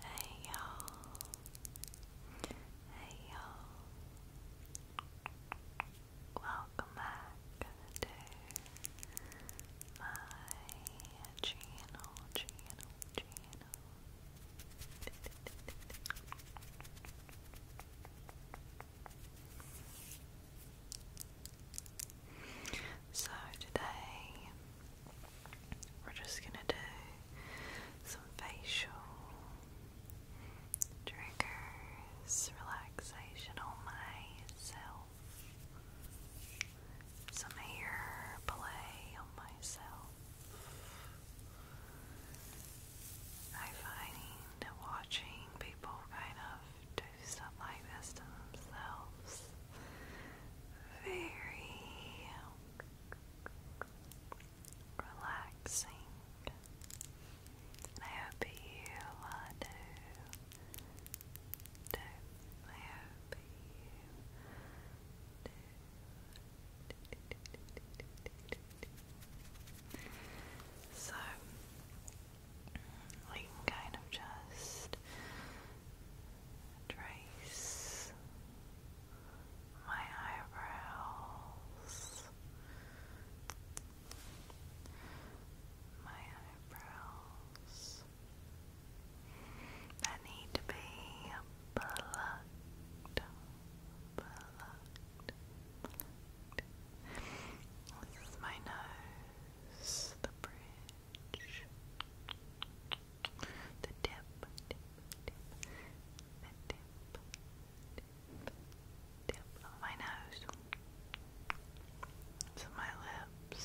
Hey y'all. Hey y'all. Welcome back to my channel, channel, channel. So today we're just going to do some facial triggers, relaxation on myself, some hair play on myself. I find watching people kind of do stuff like this to themselves. Very relaxing. I hope you are too. Do. I hope you do. So, we can kind of just trace my eyebrows. My eyebrows that need to be plucked, plucked, This is my nose is the bridge. The tip, of my nose my lips.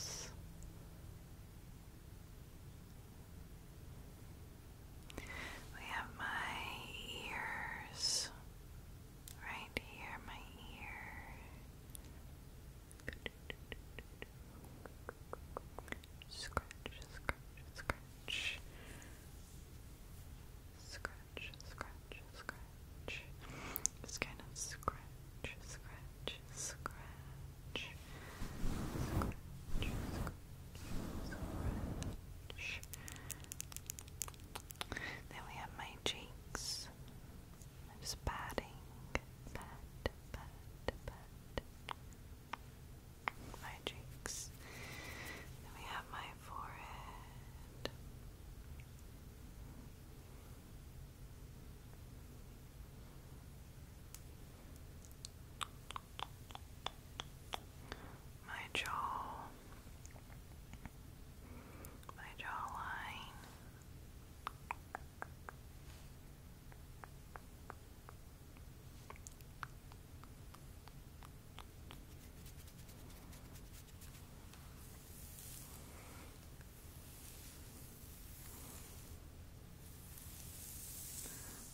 We have my ears right here, my ear. Scratch, scratch, scratch. Scratch, scratch, scratch. Just kind of scratch, scratch, scratch. Scratch, scratch, scratch. Then we have my cheeks. I'm just patting, pat, pat, pat my cheeks. Then we have my forehead. My jaw, my jawline.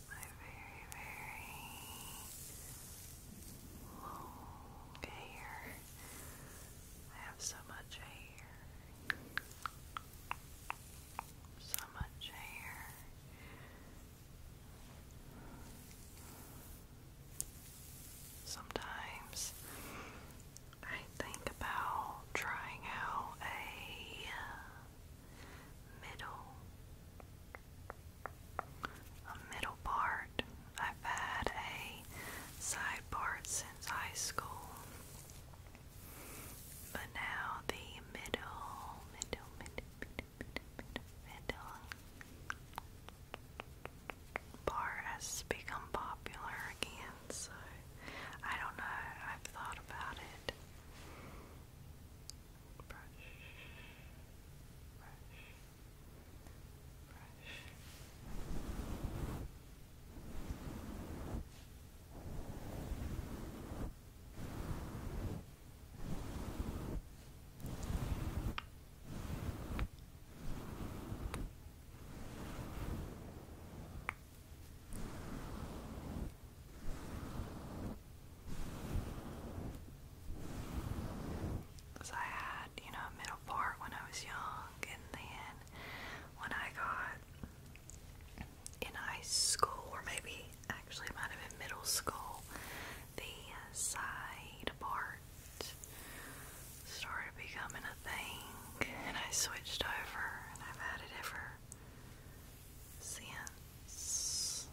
My very, very long hair I have so much hair. So much hair. Sometimes I think about trying out a middle a middle part I've had a side part since high school, but now the middle, middle, middle, middle, middle, middle has become popular again. So I don't know. I've thought about it brush. Because I you know, middle part when I was young, and then when I got in high school, or maybe actually it might have been middle school, the uh, side part started becoming a thing, and I switched over, and I've had it ever since.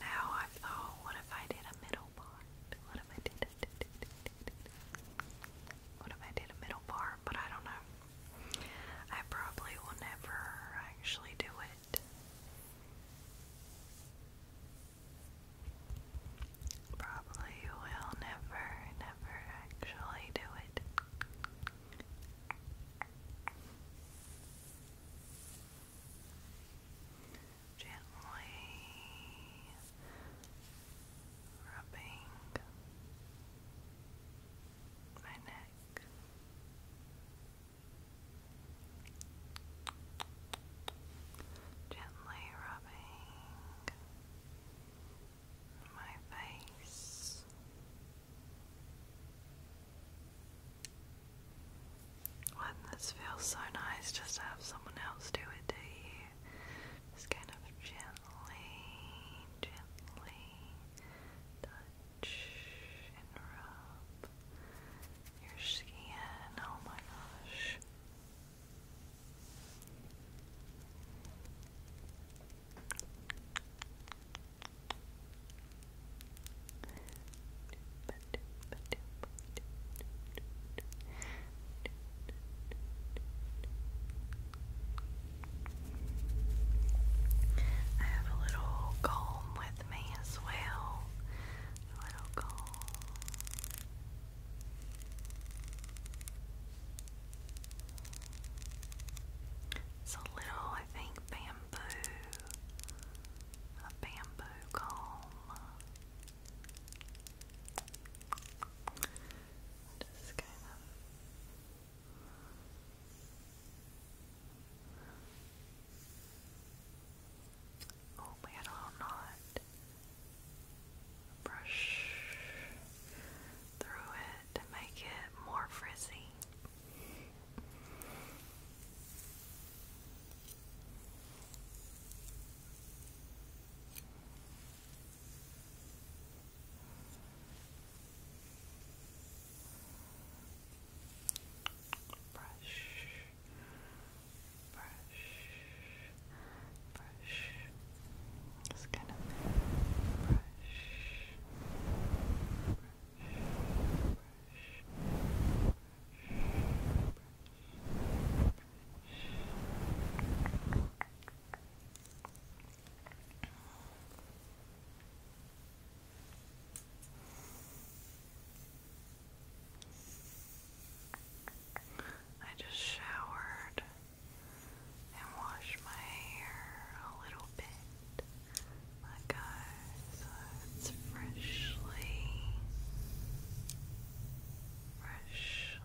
Now I've what if I did a middle part? What if I did what if I did a middle part? But I don't know. I probably will never actually do it. Probably will never, never actually do it gently rubbing my neck. Gently rubbing my face, wouldn't this feel so nice just have someone else do it to you? Just kind of gently, gently touch and rub your skin. Oh my gosh. I have a little comb with me as well. A little comb. It's a little, I think, bamboo. A bamboo comb. Just kind of Oh, we had a little knot. Brush through it to make it more frizzy brush, brush, brush, just kind of brush, brush, brush, brush, brush. I just showered and washed my hair a little bit. My guys, uh, it's freshly, freshly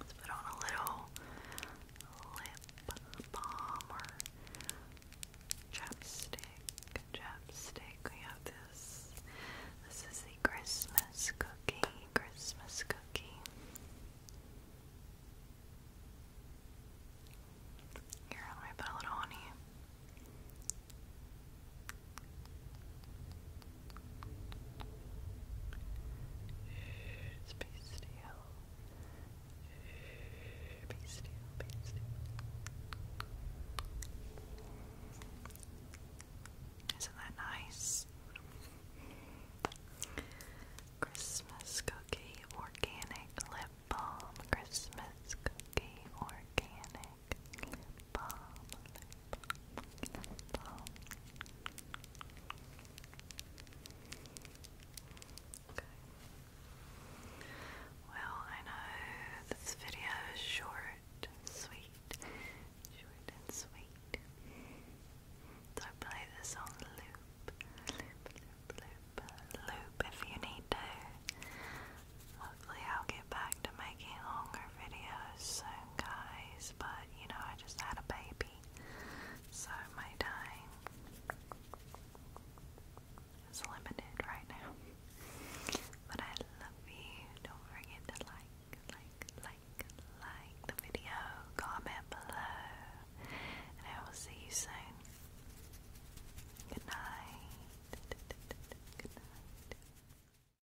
Let's put on a little lip balm or chapstick. Chapstick. We have this. This is the Christmas cookie. Christmas cookie. Here, let me put a little on you. Shh, be still. Shh, Isn't that nice? Christmas cookie organic lip balm. Christmas cookie organic well, I know this video is short, sweet, short and sweet. So play this on loop, loop, loop, loop, loop if you need to. Hopefully I'll get back to making longer videos soon guys, but you know, I just had a baby, so my time is limited right now. But I love you. Don't forget to like, like, like, like the video, comment below, and I will see you soon. Good night. Good night.